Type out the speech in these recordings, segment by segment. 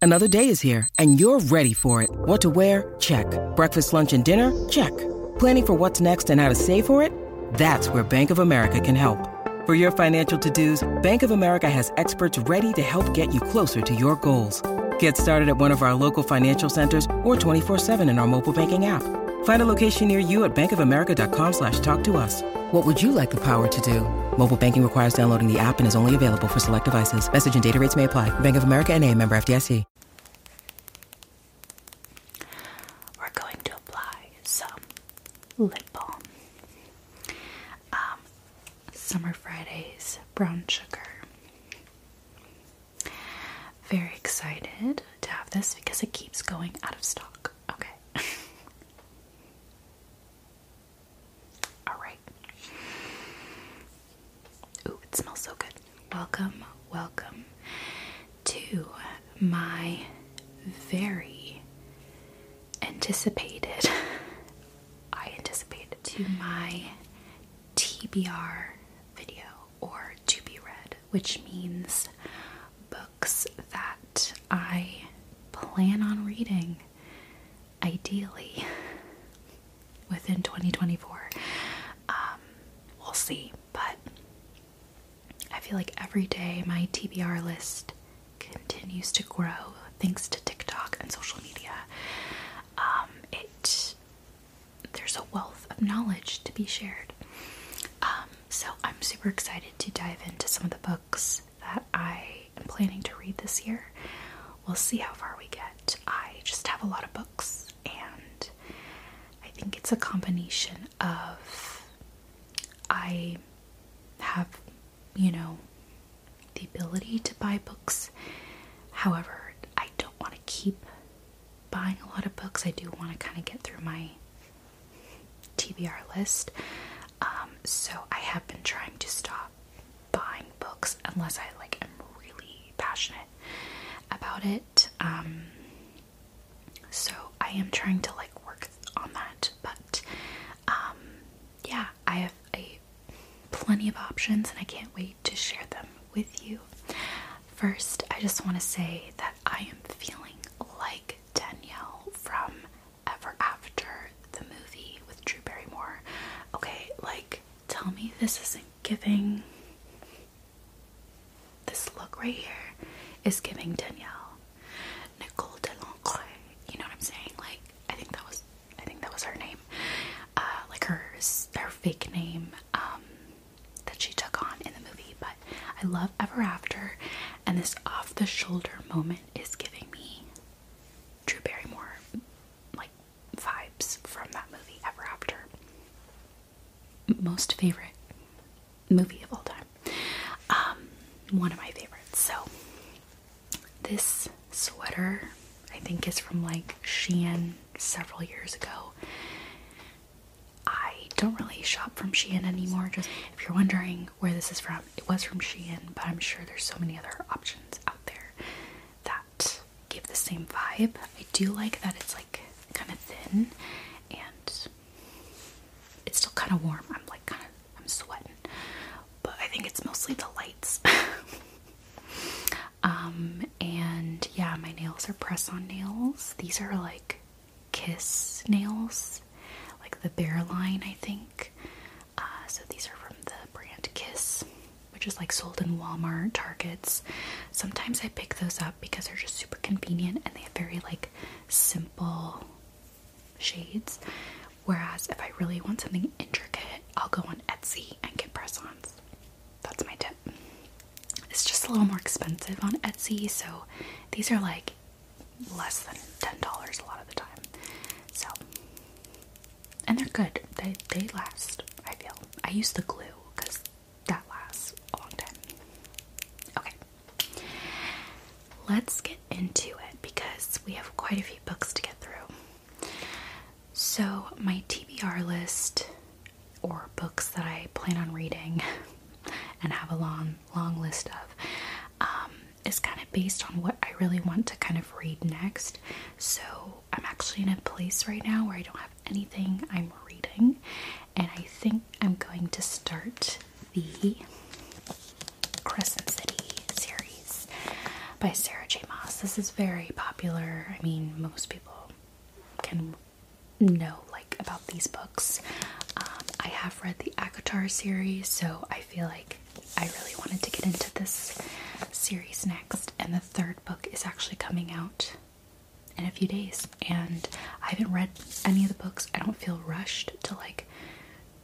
Another day is here, and you're ready for it. What to wear? Check. Breakfast, lunch, and dinner? Check. Planning for what's next and how to save for it? That's where Bank of America can help. For your financial to-dos, Bank of America has experts ready to help get you closer to your goals. Get started at one of our local financial centers or 24-7 in our mobile banking app. Find a location near you at bankofamerica.com slash talk to us. What would you like the power to do? Mobile banking requires downloading the app and is only available for select devices. Message and data rates may apply. Bank of America NA member FDIC. We're going to apply some lip balm. Um, Summer Fridays brown sugar. Very excited to have this because it keeps going out of stock. Okay. Alright. Ooh, it smells so good. Welcome, welcome to my very anticipated, I anticipated, to my TBR video or to be read, which means books that I plan on reading ideally within 2024. Um, we'll see, but I feel like every day my TBR list continues to grow thanks to TikTok and social media. Um, it there's a wealth of knowledge to be shared. Um, so I'm super excited to dive into some of the books that I I am planning to read this year. We'll see how far we get. I just have a lot of books, and I think it's a combination of I have, you know, the ability to buy books. However, I don't want to keep buying a lot of books. I do want to kind of get through my TBR list. Um, so I have been trying to stop buying books unless I like am really passionate about it. Um, so I am trying to like work on that, but um, yeah, I have a plenty of options and I can't wait to share them with you. First, I just want to say that I am feeling like Danielle from Ever After the movie with Drew Barrymore. Okay, like tell me this isn't giving. This look right here is giving Danielle Nicole Delancre. You know what I'm saying? Like, I think that was, I think that was her name. Uh, like her, her fake name um, that she took on in the movie. But I love Ever After, and this off the shoulder moment is giving me Drew Barrymore, like vibes from that movie ever after. Most favorite movie of all time. Um, one of my favorites. So, this sweater I think is from like Shein several years ago. I don't really shop from Shein anymore. Just if you're wondering where this is from, it was from Shein, but I'm sure there's so many other options out there that give the same vibe. I do like that it's like kind of thin and it's still kind of warm. I'm like kind of I'm sweating, but I think it's mostly the lights. um and yeah, my nails are press-on nails. These are like kiss nails, like the bear line, I think. Uh, so these are from the brand Kiss, which is like sold in Walmart, Targets. Sometimes I pick those up because they're just super convenient and they have very like simple shades. Whereas if I really want something intricate, I'll go on Etsy and get press-ons. That's my tip. It's just a little more expensive on Etsy, so these are like less than $10 a lot of the time. So and they're good. They they last. I feel. I use the glue because that lasts a long time. Okay, let's get into it because we have quite a few books to get through. So my TBR list, or books that I plan on reading, and have a long long list of. Um, is kind of based on what I really want to kind of read next. So I'm actually in a place right now where I don't have anything I'm reading, and I think I'm going to start the Crescent City series by Sarah J. Moss. This is very popular. I mean, most people can know like about these books. Um, I have read the Akatar series, so I feel like I really wanted to get into this series next, and the third book is actually coming out in a few days. And I haven't read any of the books. I don't feel rushed to like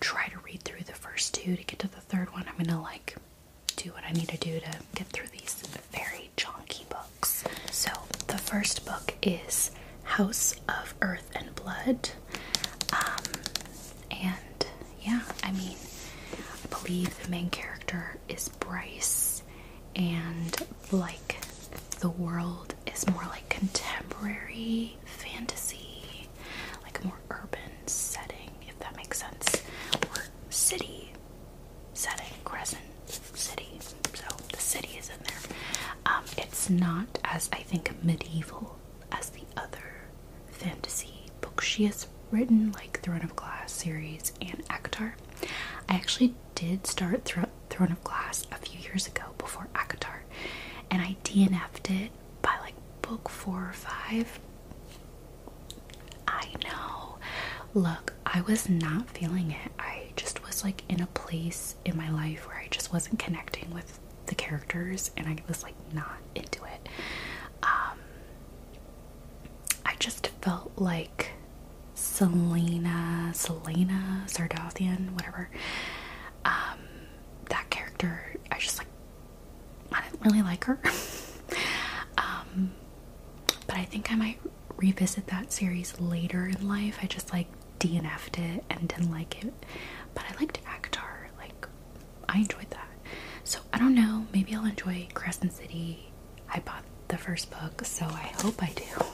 try to read through the first two to get to the third one. I'm gonna like do what I need to do to get through these very chonky books. So, the first book is House of Earth and Blood. Um, and yeah, I mean, I believe the main character is Bryce, and like the world is more like contemporary fantasy, like a more urban setting, if that makes sense, or city setting, Crescent City. So the city is in there. Um, it's not as I think medieval as the other fantasy book she has written, like Throne of Glass series and Akatar. I actually did start Throne of Glass a few years ago before Akatar, and I DNF'd it by like book four or five. I know. Look, I was not feeling it. I just was like in a place in my life where I just wasn't connecting with the characters and I was like not into it. Um I just felt like Selena, Selena Sardothian, whatever. Um, that character, I just like, I didn't really like her. Um, but I think I might revisit that series later in life. I just like DNF'd it and didn't like it. But I liked Akhtar, like I enjoyed that. So I don't know, maybe I'll enjoy Crescent City. I bought the first book, so I hope I do.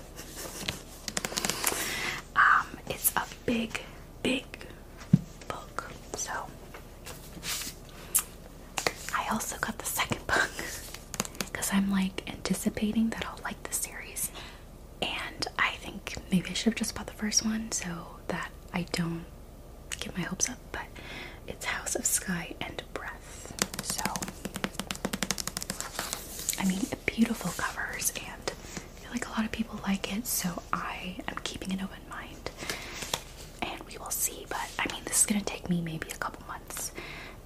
Um, it's a big, big book. So I also got the second book because I'm like anticipating that I'll like the series. And I think maybe I should have just bought the first one so that I don't Give my hopes up, but it's House of Sky and Breath. So, I mean, beautiful covers, and I feel like a lot of people like it, so I am keeping an open mind and we will see. But I mean, this is going to take me maybe a couple months,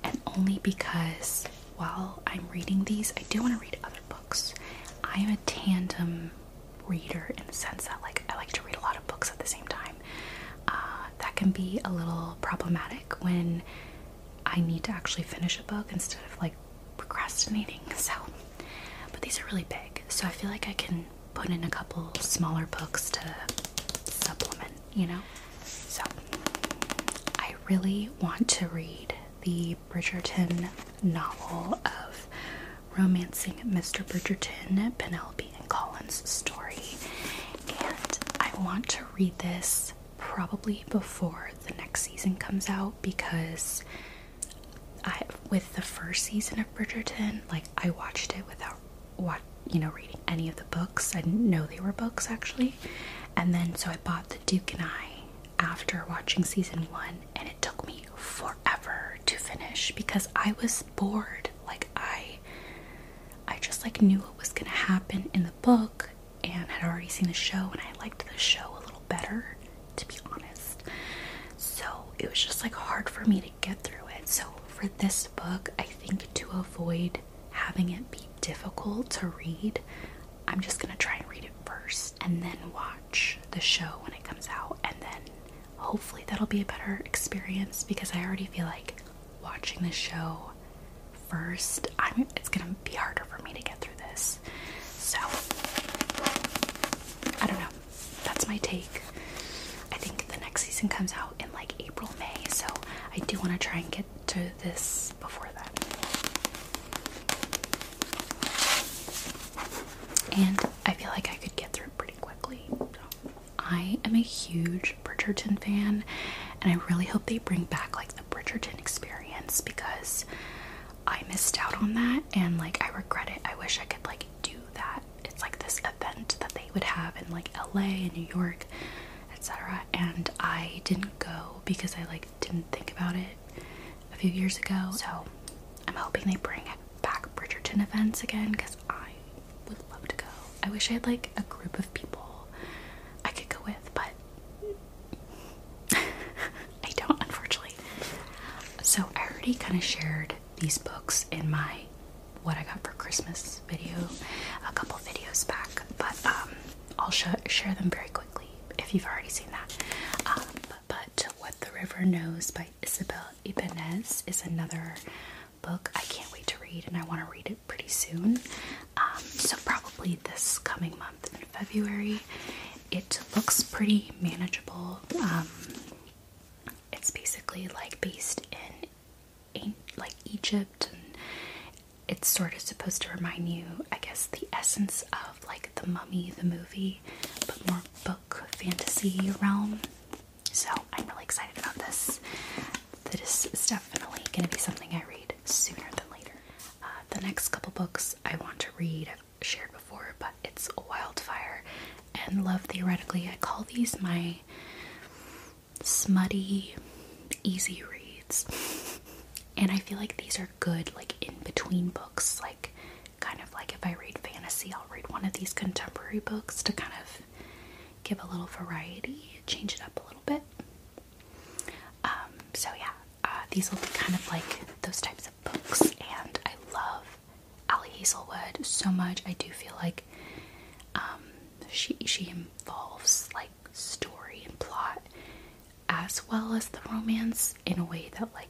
and only because while I'm reading these, I do want to read other books. I am a tandem reader in the sense that like I like to read a lot of books at the same time. Uh, that can be a little problematic when I need to actually finish a book instead of like procrastinating. So, but these are really big, so I feel like I can put in a couple smaller books to supplement, you know? So, I really want to read the Bridgerton novel of romancing Mr. Bridgerton, Penelope and Collins' story. And I want to read this probably before the next season comes out because I with the first season of Bridgerton, like I watched it without what you know reading any of the books. I didn't know they were books actually. And then so I bought The Duke and I after watching season 1 and it took me forever to finish because I was bored. Like I I just like knew what was gonna happen in the book and had already seen the show and I liked the show a little better to be honest. So it was just like hard for me to get through it. So for this book, I think to avoid having it be difficult to read, I'm just gonna try and read it first and then watch the show when it comes out and then hopefully that'll be a better experience because I already feel like watching the show first, I'm it's gonna be harder for me to get through this. So I don't know. That's my take. I think the next season comes out in like April, May, so I do want to try and get to this before that. And I feel like I could get through it pretty quickly. So. I am a huge Bridgerton fan, and I really hope they bring back like the Bridgerton experience because I missed out on that and like I regret it. I wish I could like do that. It's like this event that they would have in like LA and New York, etc. And I didn't go because I like didn't think about it a few years ago. So I'm hoping they bring back Bridgerton events again because I would love to go. I wish I had like a group of people I could go with, but I don't, unfortunately. So I already kind of shared these books in my what I got for Christmas video a couple videos back, but um, I'll sh share them very quickly if you've already seen that. Um, but, but What the River Knows by Isabel Ibanez is another book I can't wait to read, and I want to read it pretty soon. Um, so, probably this coming month in February. It looks pretty manageable. Um, it's basically like based in like Egypt, and it's sort of supposed to remind you, I guess, the essence of like the Mummy, the movie, but more book fantasy realm. So I'm really excited about this. This is definitely going to be something I read sooner than later. Uh, the next couple books I want to read, I've shared before, but it's Wildfire and Love Theoretically. I call these my smutty, easy reads. And I feel like these are good, like in between books, like kind of like if I read fantasy, I'll read one of these contemporary books to kind of give a little variety, change it up a little bit. Um, so yeah, uh, these will be kind of like those types of books, and I love Allie Hazelwood so much. I do feel like um, she she involves like story and plot as well as the romance in a way that like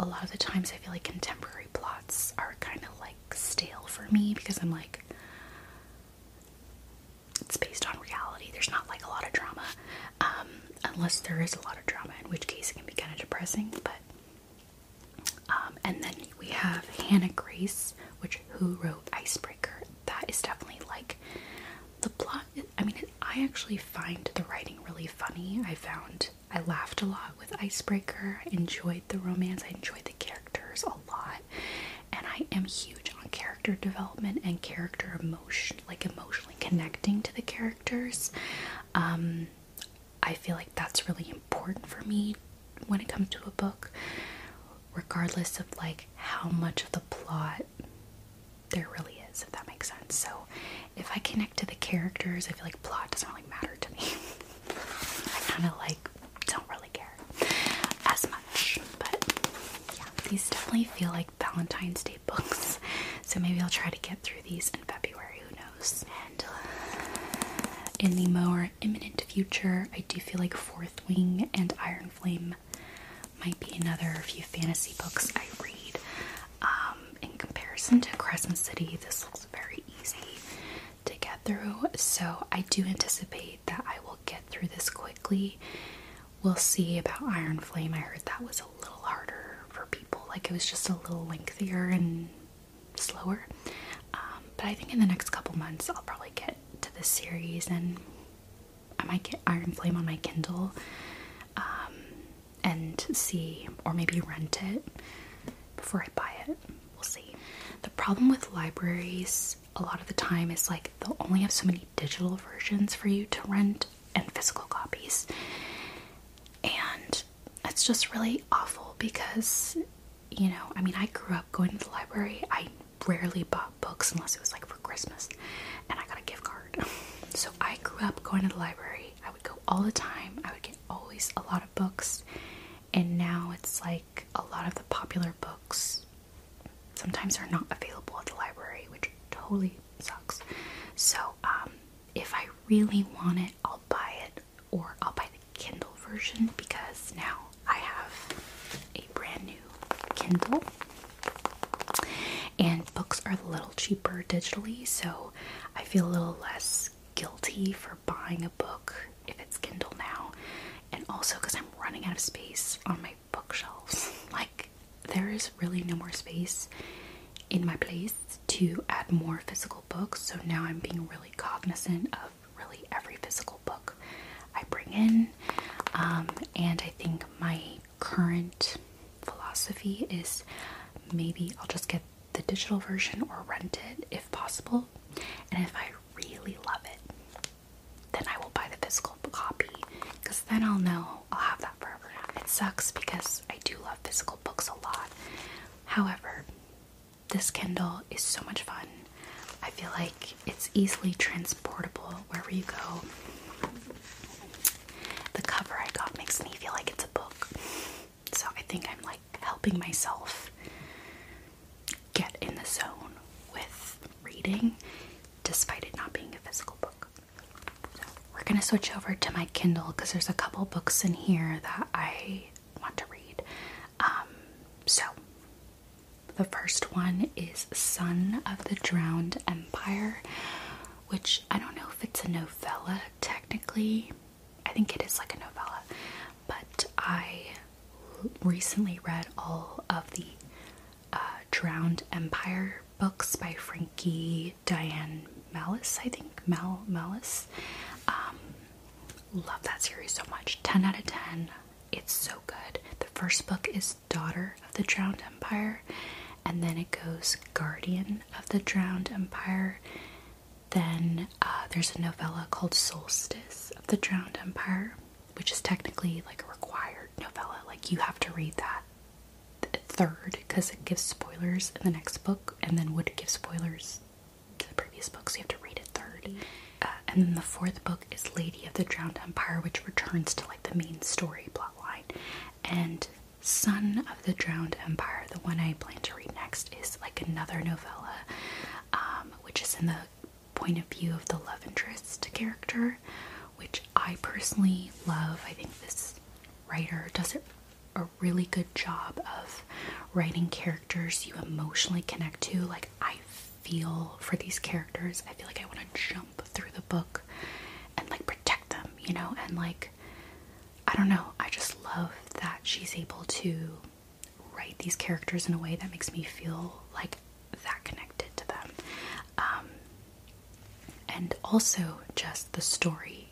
a lot of the times I feel like contemporary plots are kind of like stale for me because I'm like it's based on reality. There's not like a lot of drama, um, unless there is a lot of drama, in which case it can be kind of depressing. But um, and then we have Hannah Grace, which who wrote Icebreaker. That is definitely like the plot. I mean, I actually find the writing really funny. I found I laughed a lot with Icebreaker. I enjoyed the romance. I enjoyed the characters a lot. And I am huge on character development and character emotion, like emotionally connecting to the characters. Um, I feel like that's really important for me when it comes to a book, regardless of like how much of the plot there really is, if that makes sense. So if I connect to the characters, I feel like plot doesn't really matter to me. I kind of like don't really care as much. But yeah, these definitely feel like Valentine's Day books. So maybe I'll try to get through these in February, who knows? And uh, in the more imminent future, I do feel like Fourth Wing and Iron Flame might be another few fantasy books I read. Um, in comparison to Crescent City, this looks very easy to get through. So I do anticipate that I will get through this quickly. We'll see about Iron Flame. I heard that was a little harder for people, like it was just a little lengthier and slower. Um, but I think in the next couple months, I'll probably get to this series and I might get Iron Flame on my Kindle um, and see, or maybe rent it before I buy it. We'll see. The problem with libraries a lot of the time is like they'll only have so many digital versions for you to rent and physical copies. And it's just really awful because, you know, I mean, I grew up going to the library. I rarely bought books unless it was like for Christmas and I got a gift card. So I grew up going to the library. I would go all the time. I would get always a lot of books and now it's like a lot of the popular books sometimes are not available at the library, which totally sucks. So, um, if I really want it, I'll buy it or I'll buy the Kindle version because now I have a brand new Kindle and books are a little cheaper digitally, so I feel a little less guilty for buying a book if it's Kindle now, and also because I'm running out of space on my bookshelves. like, there is really no more space in my place to add more physical books, so now I'm being really cognizant of really every physical book I bring in. Um, and I think my current philosophy is maybe I'll just get the digital version or rent it if possible. And if I really love it, then I will buy the physical copy because then I'll know I'll have that forever. It sucks because I do love physical books a lot. However, this Kindle is so much fun. I feel like it's easily transportable wherever you go. The cover I got makes me feel like it's a book. So I think I'm like helping myself get in the zone with reading despite it not being a physical book. we're going to switch over to my Kindle because there's a couple books in here that I want to read. Um, so, the first one is Son of the Drowned Empire, which I don't know if it's a novella technically. I think it is like a novella, but I recently read all of the uh, Drowned Empire books by Frankie Diane Malice, I think. Mal Malice. Um, loved that series so much. 10 out of 10. It's so good. The first book is Daughter of the Drowned Empire, and then it goes Guardian of the Drowned Empire. Then uh, there's a novella called Solstice of the Drowned Empire, which is technically like a required novella. Like you have to read that third because it gives spoilers in the next book, and then would give spoilers to the previous books. you have to read it third. Uh, and then the fourth book is Lady of the Drowned Empire, which returns to like the main story plotline. And Son of the Drowned Empire, the one I plan to read next, is like another novella, um, which is in the point of view of the love interest character, which I personally love. I think this writer does a really good job of writing characters you emotionally connect to. Like, I feel for these characters, I feel like I want to jump through the book and like protect them, you know, and like I don't know, I just love that she's able to write these characters in a way that makes me feel like that connected to them. Um, and also, just the story,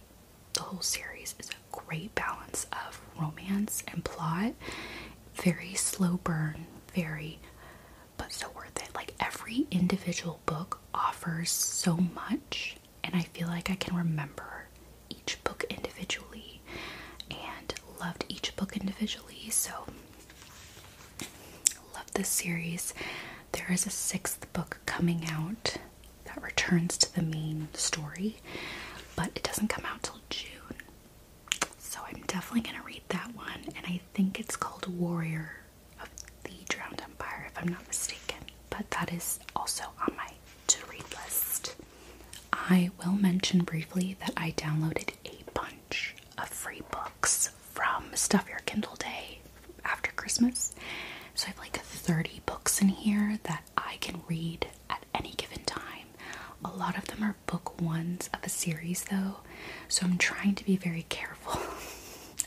the whole series is a great balance of romance and plot. Very slow burn, very, but so worth it. Like every individual book offers so much, and I feel like I can remember each book individually and loved each book individually. So, love this series. There is a sixth book coming out that returns to the main story, but it doesn't come out till June. So, I'm definitely going to read that one, and I think it's called Warrior of the Drowned Empire, if I'm not mistaken. But that is also on my to read list. I will mention briefly that I downloaded a bunch of free books from Stuff Your Kindle Day after Christmas. So I have like 30 books in here that I can read at any given time. A lot of them are book ones of a series though, so I'm trying to be very careful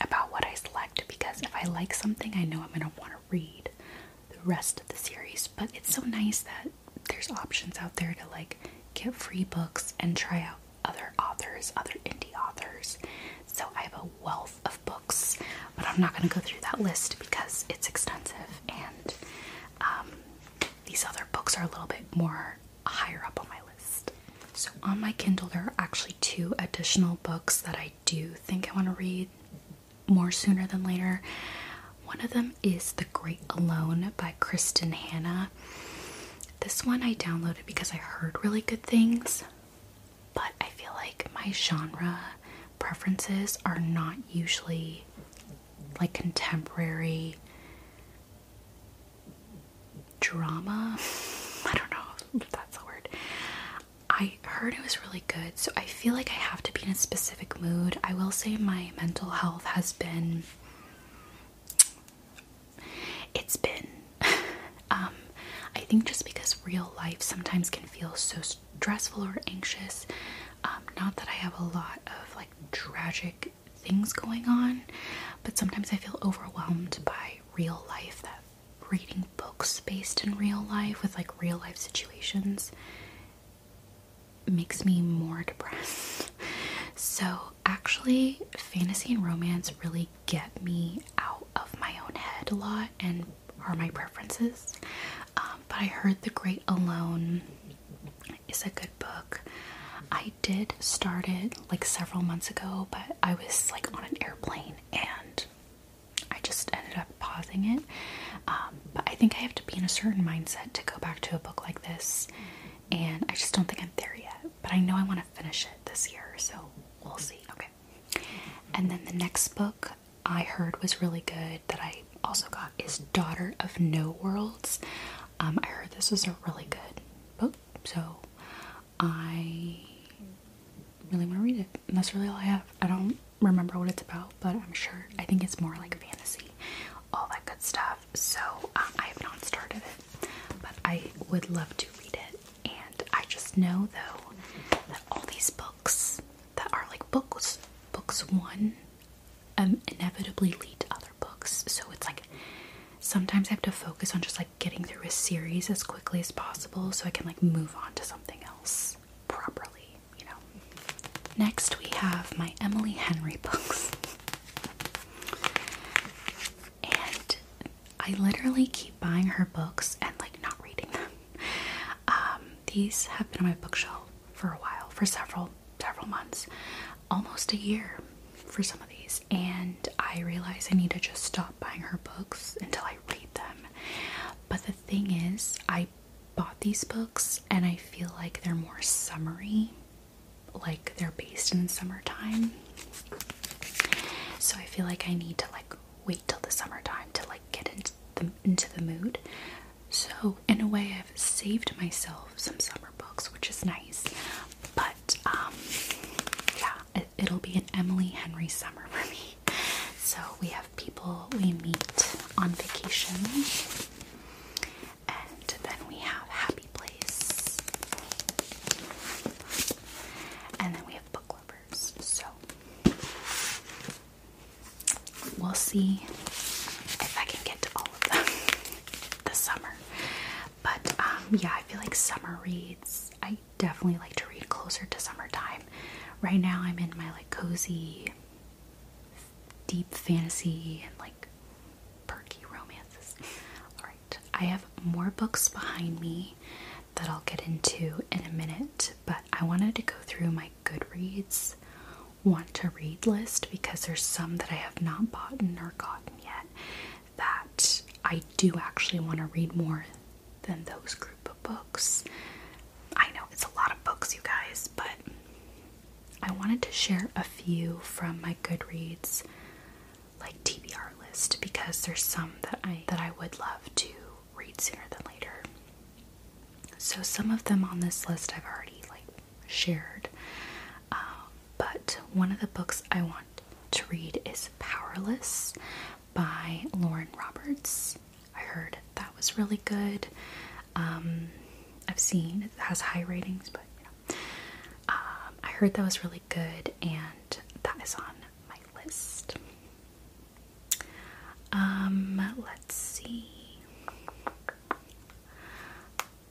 about what I select because if I like something, I know I'm going to want to read the rest of the series. But it's so nice that there's options out there to like get free books and try out other authors, other indie authors. So I have a wealth of books, but I'm not going to go through that list because it's extensive and um, these other books are a little bit more higher up on my list. So on my Kindle, there are actually two additional books that I do think I want to read more sooner than later. One of them is The Great Alone by Kristen Hannah. This one I downloaded because I heard really good things, but I feel like my genre preferences are not usually like contemporary drama. I don't know that's a word. I heard it was really good, so I feel like I have to be in a specific mood. I will say my mental health has been it's been um, I think just because real life sometimes can feel so stressful or anxious um, not that I have a lot of like tragic things going on but sometimes I feel overwhelmed by real life that reading books based in real life with like real life situations makes me more depressed. So, actually, fantasy and romance really get me out of my own head a lot and are my preferences. Um, but I heard The Great Alone is a good book. I did start it like several months ago, but I was like on an airplane and I just ended up pausing it. Um, but I think I have to be in a certain mindset to go back to a book like this and I just don't think I'm there yet. But I know I want to finish it this year, so we'll see. Okay. And then the next book I heard was really good that I also got is Daughter of No Worlds. Um, I heard this was a really good book, so I really want to read it. And that's really all I have. I don't remember what it's about, but I'm sure I think it's more like fantasy, all that good stuff. So um, I have not started it, but I would love to read it. And I just know though that all these books that are like books, books one, um, inevitably lead to other books. So it's like sometimes I have to focus on just like getting through a series as quickly as possible so I can like move on to something else properly, you know. Next, we have my Emily Henry books. and I literally keep buying her books and like not reading them. Um, these have been on my bookshelf for a while, for several, several months, almost a year for some of these. And I realize I need to just stop buying her books until I read them. But the thing is, I bought these books and I feel like they're more summary like they're based in summertime. So I feel like I need to like wait till the summertime to like get into the into the mood. So in a way I've saved myself some summer books, which is nice. But um yeah, it'll be an Emily Henry summer for me. So we have people we meet on vacation and then we have Happy Place. And then we have Book Lovers. So we'll see if I can get to all of them this summer. But um, yeah, I feel like summer reads, I definitely like to read closer to summertime. Right now, I'm in my like cozy deep fantasy and like perky romances. Alright, I have more books behind me that I'll get into in a minute, but I wanted to go through my Goodreads want to read list because there's some that I have not bought or gotten yet that I do actually want to read more than those group of books. I know it's a lot of books, you guys, but I wanted to share a few from my Goodreads like TBR list because there's some that I that I would love to read sooner than later. So some of them on this list I've already like shared, uh, but one of the books I want to read is Powerless by Lauren Roberts. I heard that was really good. Um, I've seen it has high ratings, but you know, um, I heard that was really good, and that is on my list. Um, let's see.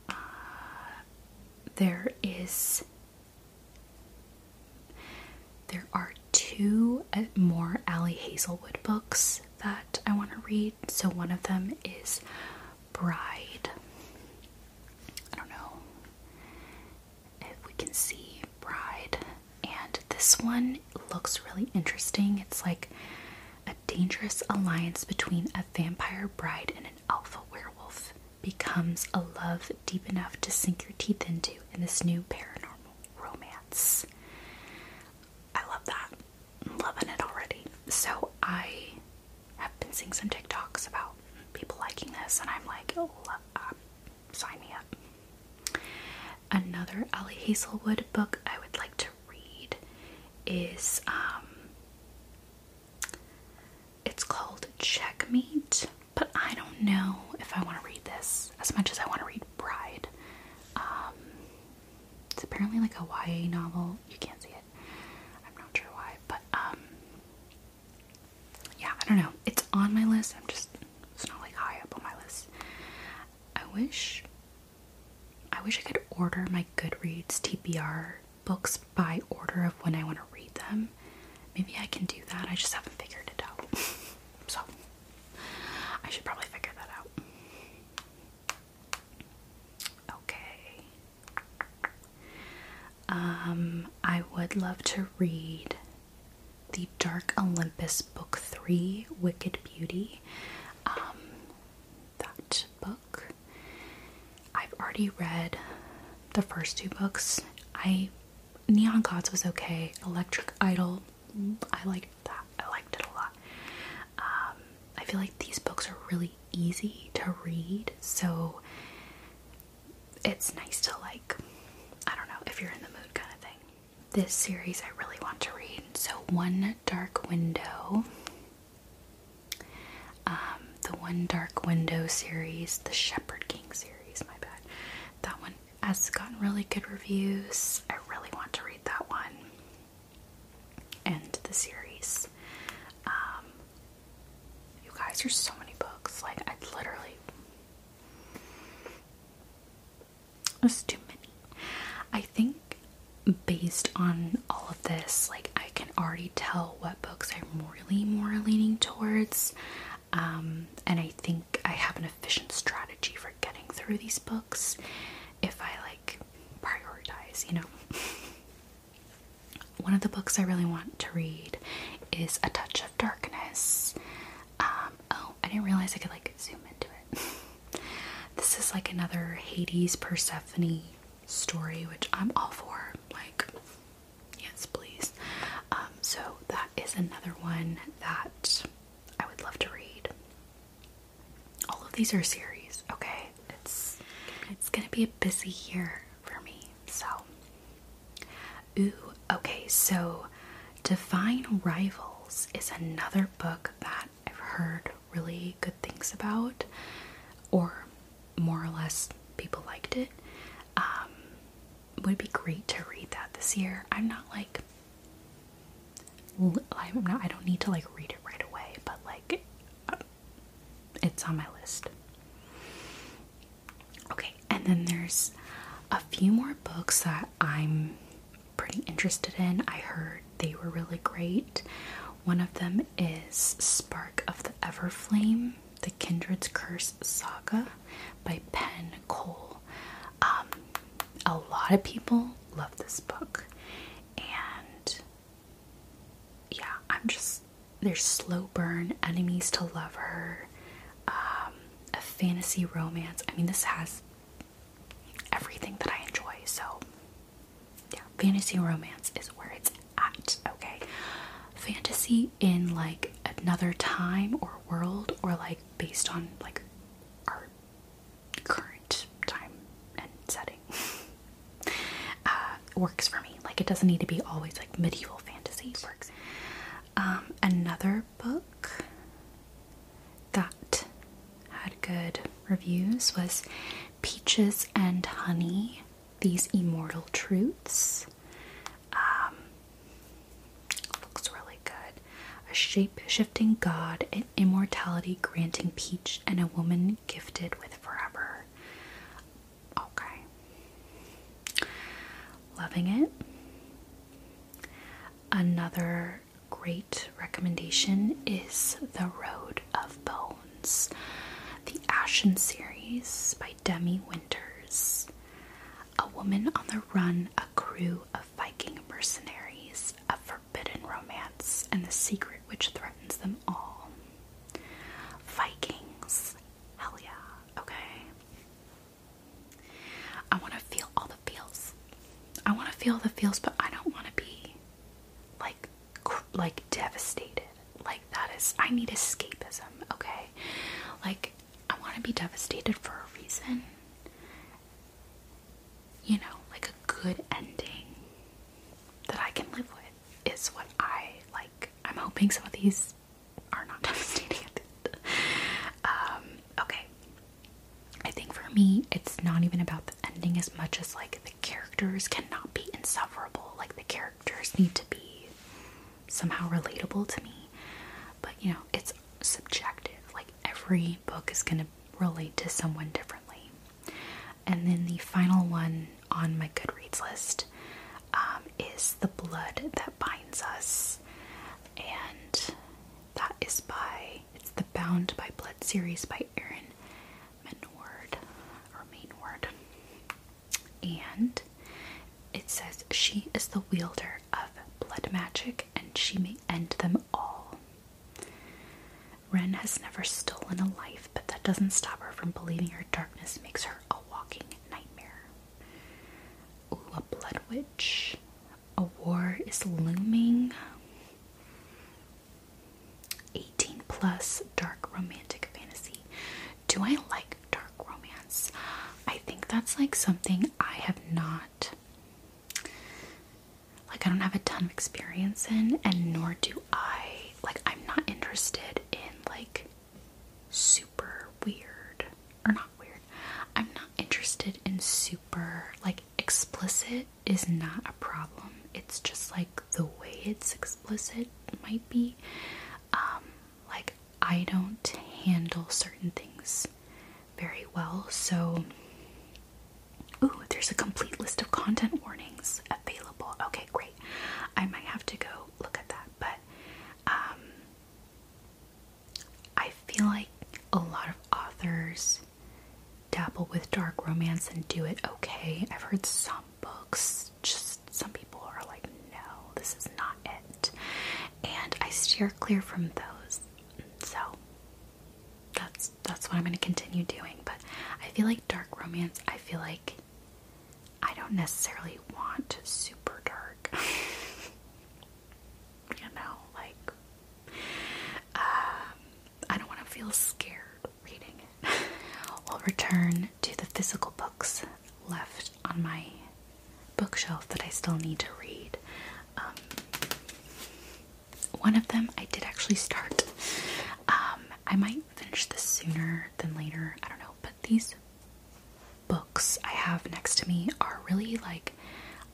Uh, there is. There are two uh, more Ally Hazelwood books that I want to read. So one of them is Bride. I don't know if we can see Bride. And this one looks really interesting. It's like a dangerous alliance between a vampire bride and an alpha werewolf becomes a love deep enough to sink your teeth into in this new paranormal romance. I love that loving it already. So I have been seeing some TikToks about people liking this, and I'm like, oh, um, sign me up. Another Ally Hazelwood book I would like to read is um, it's called Checkmate, but I don't know if I want to read this as much as I want to read Bride. Um, it's apparently like a YA novel. You can't see it. I'm not sure why, but um, yeah, I don't know. It's on my list. I'm just it's not like high up on my list. I wish I wish I could order my Goodreads TBR books by order of when I want to read them. Maybe I can do that. I just haven't figured it out. so I should probably figure that out. Okay. Um, I would love to read the Dark Olympus Book 3 Wicked Beauty. Um, that book. I've already read the first two books. I Neon Gods was okay. Electric Idol, I liked that. I liked it a lot. Um, I feel like these books are really easy to read, so it's nice to like, I don't know, if you're in the mood kind of thing. This series I really want to read. So, One Dark Window. Um, the One Dark Window series, the Shepherd King series, my bad. That one has gotten really good reviews. I really want to read that one end the series. Um, you guys, there's so many books. Like, I literally. It's too many. I think based on all of this, like, I can already tell what books I'm really more leaning towards. Um, and I think I have an efficient strategy for getting through these books if I like prioritize, you know. one of the books I really want to read is A Touch of Darkness. Um, oh, I didn't realize I could like zoom into it. this is like another Hades Persephone story, which I'm all for. Like, yes, please. Um, so that is another one that I would love to read all of these are series, okay? It's it's gonna be a busy year for me. So Ooh, okay, so Divine Rivals is another book that I've heard really good things about, or more or less people liked it. Um, would be great to read that this year. I'm not like I'm not, I don't need to like read it right away, but like it's on my list. Okay, and then there's a few more books that I'm pretty interested in. I heard they were really great. One of them is Spark of the Everflame, The Kindred's Curse Saga by Pen Cole. Um, a lot of people love this book, and yeah, I'm just there's slow burn, enemies to lover, um, a fantasy romance. I mean, this has everything that I enjoy. So, yeah, fantasy romance is where it's at. Okay, fantasy in like another time or world, or like based on like our current time and setting way uh, works for me. Like it doesn't need to be always like medieval fantasy works. Um, another book that had good reviews was Peaches and Honey: These Immortal Truths. Um, looks really good. A shape-shifting god, an immortality granting peach, and a woman gifted with forever Okay. Loving it. Another great recommendation is The Road of Bones, the Ashen series by Demi Winters. A woman on the run, a crew of Viking mercenaries, a forbidden romance, and the secret which threatens them all. Vikings. Hell yeah. Okay. I want to feel all the feels. I want to feel the feels, but I don't want to be like like devastated. Like that is I need escapism, okay? Like I want to be devastated for a reason. You know, like a good ending that I can live with is what I like. I'm hoping some of these are not devastating. Um, okay. I think for me, it's not even about the ending as much as like the characters cannot be insufferable. Like the characters need to be somehow relatable to me. But you know, it's subjective. Like every book is going to relate to someone differently. And then the final one on my Goodreads list um, is The Blood That Binds Us. And that is by, it's the Bound by Blood series by Erin Menward And it says, She is the wielder of blood magic and she may end them all. Ren has never stolen a life, but that doesn't stop her from believing her darkness makes her a walking nightmare. Ooh, a blood witch. A war is looming. 18 plus dark romantic fantasy. Do I like dark romance? I think that's like something I have not like I don't have a ton of experience in and nor do I like I'm not interested in like super weird or not weird. I'm not interested in super like explicit is not a problem. It's just like the way it's explicit might be um like I don't handle certain things very well. So Ooh, there's a complete list of content warnings available. Okay, great. I might have to go look at that, but um, I feel like a lot of authors dabble with dark romance and do it okay. I've heard some books, just some people are like, no, this is not it. And I steer clear from those. So that's that's what I'm gonna continue doing. But I feel like dark romance, I feel like I don't necessarily want super dark. you know, like um, I don't want to feel scared reading it. we'll return to the physical books left on my bookshelf that I still need to read. Um, one of them I did actually start. Um, I might finish this sooner then later. I don't know, but these books I have next to me are really like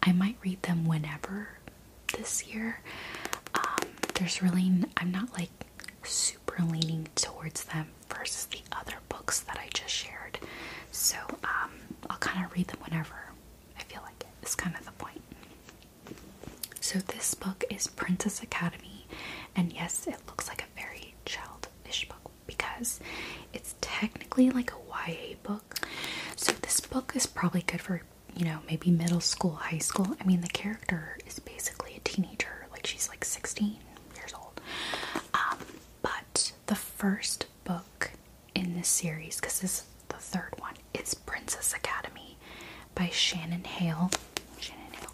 I might read them whenever this year. Um, there's really, I'm not like super leaning towards them versus the other books that I just shared. So um, I'll kind of read them whenever I feel like it, is kind of the point. So this book is Princess Academy, and yes, it looks like a very childish book because it's technically like a YA book. So this book is probably good for, you know, maybe middle school, high school. I mean, the character is basically a teenager, like she's like 16 years old. Um, but the first book in this series, because this is the third one, is Princess Academy by Shannon Hale. Shannon Hale.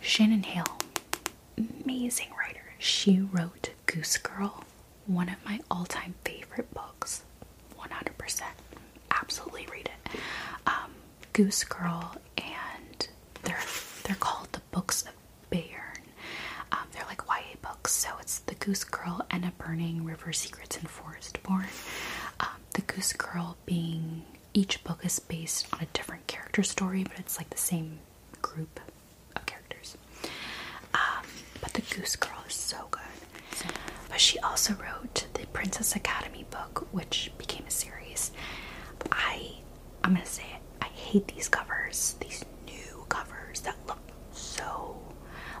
Shannon Hale, amazing writer. She wrote Goose Girl, one of my all-time favorite books. 100%. Absolutely read it. Um, Goose Girl and they're they're called the Books of Bayern. Um, they're like YA books, so it's The Goose Girl, Anna Burning, River Secrets, and Forest Born. Um, the Goose Girl being each book is based on a different character story, but it's like the same group of characters. Um, but The Goose Girl is so good. but she also wrote the Princess Academy book, which became a series. I, I'm gonna say it, I hate these covers, these new covers that look so,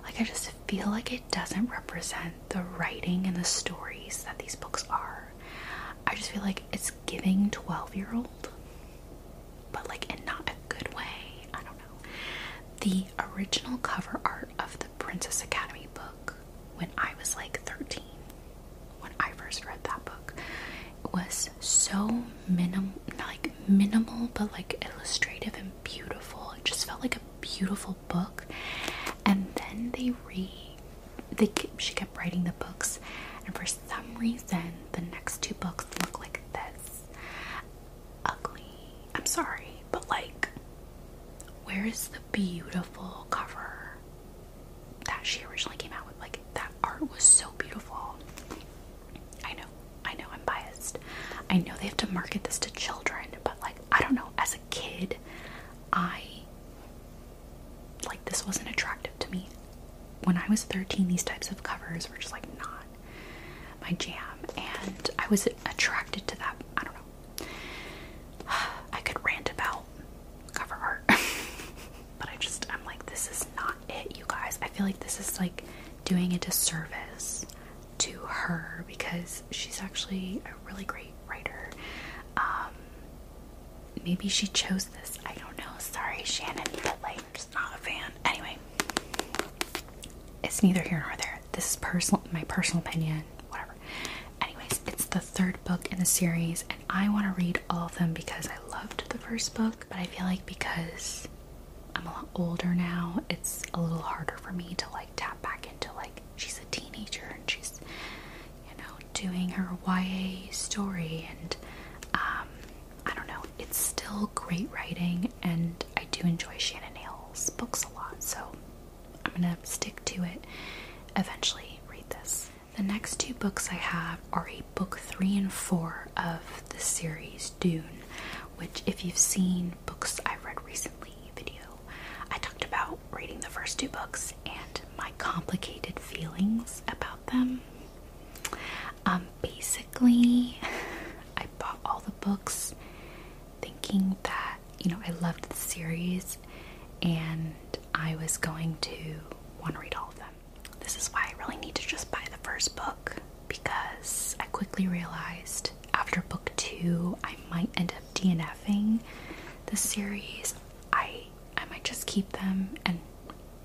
like I just feel like it doesn't represent the writing and the stories that these books are. I just feel like it's giving 12 year old, but like in not a good way. I don't know. The original cover art of the Princess Academy book when I was like 13, when I first read that book, was so minimal, like minimal, but like illustrative and beautiful. It just felt like a beautiful book. And then they re they she kept writing the books, and for some reason, the next two books look like this. Ugly. I'm sorry, but like, where is the beautiful cover that she originally came out with? Like, that art was so beautiful. I know, I know, I'm biased. I know they have to market this to children, but like, I don't know, as a kid, I like this wasn't attractive to me. When I was 13, these types of covers were just like not my jam, and I was attracted to that. I don't know. I could rant about cover art, but I just, I'm like, this is not it, you guys. I feel like this is like doing a disservice to her because she's actually a really great writer. Um, maybe she chose this. I don't know. Sorry, Shannon, but like, just not a fan. Anyway, it's neither here nor there. This is personal, my personal opinion, whatever. Anyways, it's the third book in the series, and I want to read all of them because I loved the first book, but I feel like because I'm a lot older now, it's a little harder for me to like tap back into like she's a teenager and she's you know doing her YA story, and um, I don't know, it's still great writing, and I do enjoy Shannon Hale's books a lot, so I'm gonna stick to it. Eventually, read this. The next two books I have are a book three and four of the series Dune, which, if you've seen books I read recently video, I talked about reading the first two books and my complicated feelings about them. Um, basically, I bought all the books thinking that, you know, I loved the series and I was going to want to read all of them. This is why I really need to just buy the first book because I quickly realized after book two I might end up DNFing the series. I I might just keep them and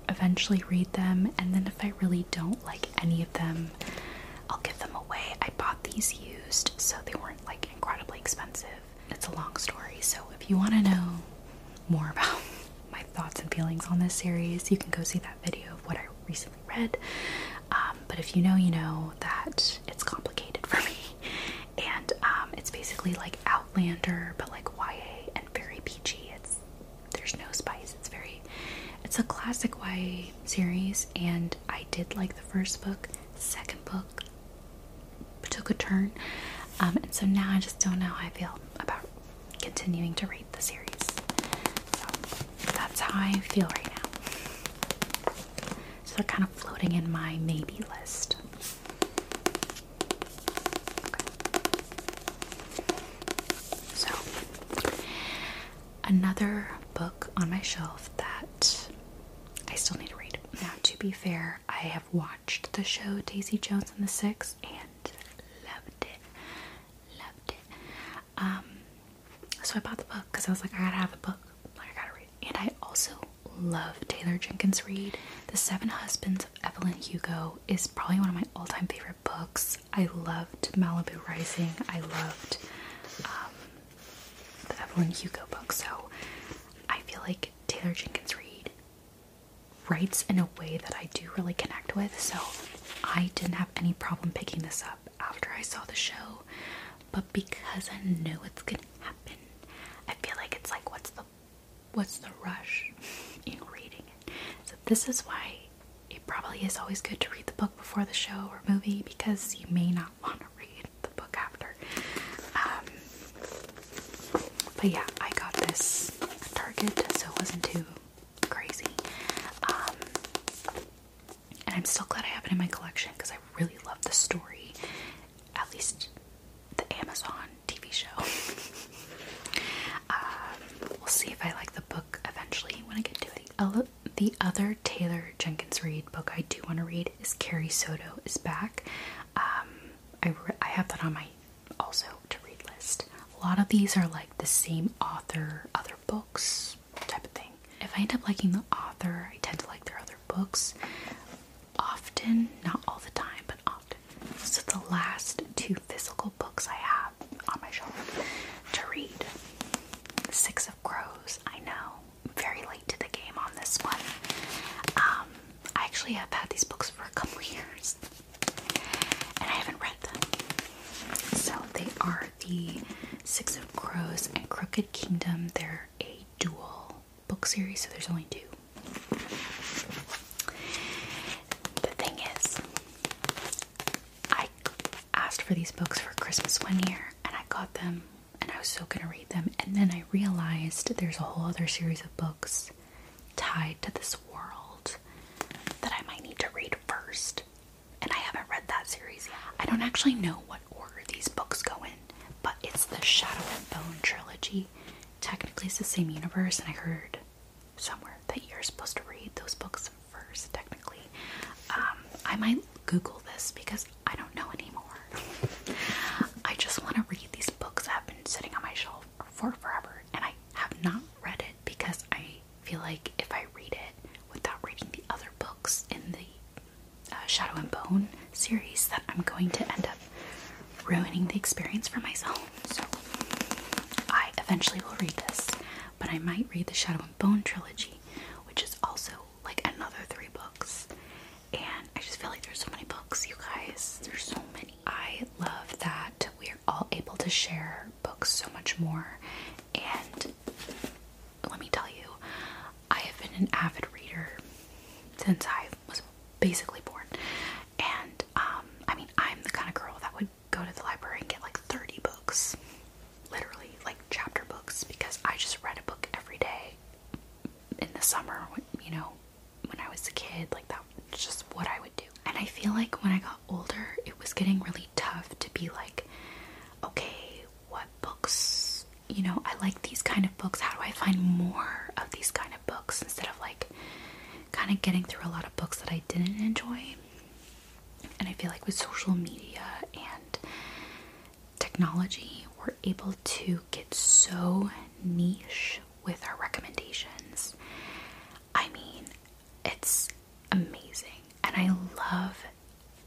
eventually read them. And then if I really don't like any of them, I'll give them away. I bought these used, so they weren't like incredibly expensive. It's a long story, so if you want to know more about my thoughts and feelings on this series, you can go see that video of what I recently read. Um, but if you know, you know that it's complicated for me, and um, it's basically like Outlander, but like YA and very peachy. It's there's no spice. It's very, it's a classic YA series, and I did like the first book. Second book took a turn, um, and so now I just don't know how I feel about continuing to read the series. So that's how I feel right now. So they're kind of floating in my maybe list. So, another book on my shelf that I still need to read. Now, to be fair, I have watched the show Daisy Jones and the Six and loved it. Loved it. Um, so I bought the book because I was like, I gotta have a book. Like, I gotta read. And I also love Taylor Jenkins Reid. The Seven Husbands of Evelyn Hugo is probably one of my all time favorite books. I loved Malibu Rising. I loved um, the Evelyn Hugo book. So I feel like Taylor Jenkins Reid writes in a way that I do really connect with. So I didn't have any problem picking this up after I saw the show. But because I know it's gonna happen, I feel like it's like, what's the what's the rush in reading it? So this is why it probably is always good to read the book before the show or movie because you may not want to read the book after. Um, but yeah, I got this at Target, so it wasn't too crazy. Um, and I'm still glad I have it in my collection because I really love the story. At least the Amazon TV show. Um, we'll see if I like the book eventually when I get to it. The other Taylor Jenkins Reid book I do want to read is Carrie Soto is Back. Um, I, I have that on my also to read list. A lot of these are like the same author, other books type of thing. If I end up liking the author, I tend to like their other books often, not all the time, but often. So the last two physical books I have on my shelf to read. Six of Crows. I know, very late to the game on this one. Um, I actually have had these books for a couple years, and I haven't read them. So they are the Six of Crows and Crooked Kingdom. They're a dual book series, so there's only two. The thing is, I asked for these books for Christmas one year and I got them and I was so gonna read them, and then I realized there's a whole other series of books tied to this world that I might need to read first. And I haven't read that series yet. I don't actually know what order these books go in, but it's the Shadow and Bone trilogy technically it's the same universe, and I heard somewhere that you're supposed to read those books first, technically. Um, I might Google this because I don't know anymore. I just want to read these books that have been sitting on my shelf for forever, and I have not read it because I feel like if I read it without reading the other books in the uh, Shadow and Bone series, that I'm going to end up ruining the experience for myself. So I eventually will read this, but I might read the Shadow and Bone trilogy, which is also like another three books. And I just feel like there's so many books, you guys. There's so many. I love that we are all able to share books so much more. And let me tell you, I have been an avid reader since I was basically born. And um, I mean, I'm the kind of girl that would go to the library and get like 30 books, literally, like chapter books, because I just read a book every day in the summer, you know, when I was a kid. Like, that was just what I would do. And I feel like when I got older, it was getting really tough to be like, okay, what books, you know, I like these kind of books. How do I find more of these kind of books instead of like kind of getting through a lot of books that I didn't enjoy. And I feel like with social media and technology, we're able to get so niche with our recommendations. I mean, it's amazing. And I love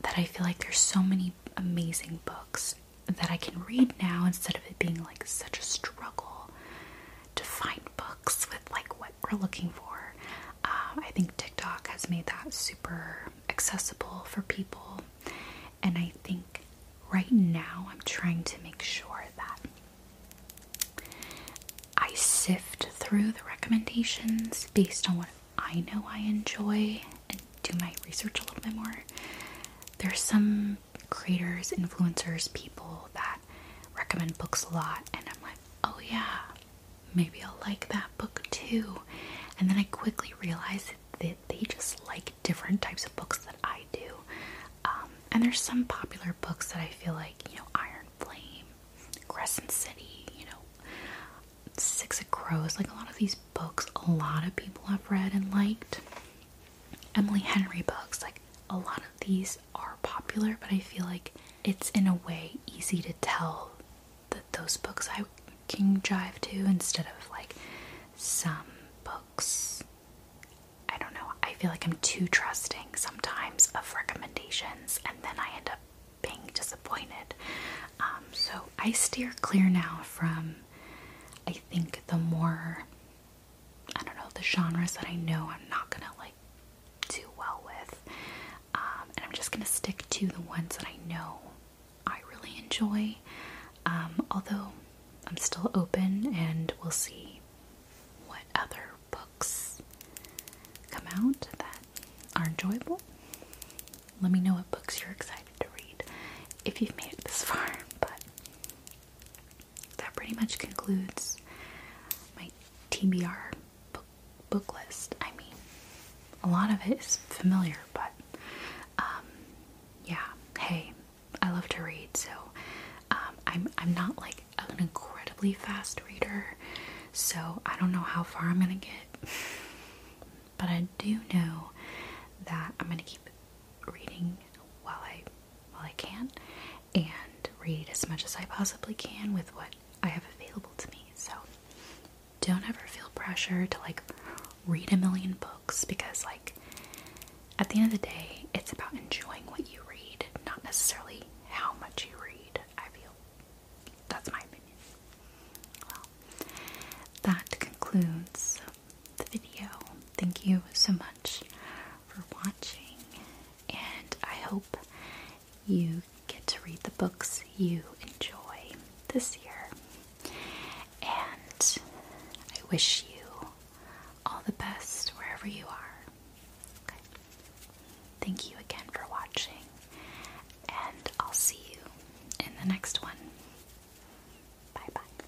that I feel like there's so many amazing books that I can read now instead of it being like such a struggle to find books with like what we're looking for. Um, I think TikTok has made that super accessible for people, and I think right now I'm trying to make sure that I sift through the recommendations based on what I know I enjoy and do my research a little bit more. There's some creators, influencers, people that recommend books a lot, and I'm like, oh yeah, maybe I'll like that book too. And then I quickly realize that they just like different types of books that I do. Um, and there's some popular books that I feel like, you know, Iron Flame, Crescent City, you know, Six of Crows, like a lot of these books, a lot of people have read and liked. Emily Henry books. Like a lot of these are popular, but I feel like it's in a way easy to tell that those books I can drive to instead of like some books. I don't know. I feel like I'm too trusting sometimes of recommendations and then I end up being disappointed. Um, so I steer clear now from, I think, the more I don't know, the genres that I know I'm not gonna like do well with. Um, and I'm just gonna stick to the ones that I know I really enjoy. Um, although I'm still open and we'll see what other books come out that are enjoyable. Let me know what books you're excited to read if you've made it this far. But that pretty much concludes my TBR book, book list. I mean, a lot of it is familiar, but um, yeah, hey, I love to read, so um, I'm, I'm not like an incredibly fast reader, so I don't know how far I'm gonna get, but I do know that I'm gonna keep reading while I while I can and read as much as I possibly can with what I have available to me. So don't ever feel pressure to like read a million books because, like, at the end of the day, it's about enjoying what you read, not necessarily how much you read. I feel that's my opinion. Well, that concludes the video. Thank you so much for watching, and I hope you get to read the books you enjoy this year. And I wish you all the best wherever you are. Thank you again for watching, and I'll see you in the next one. Bye bye.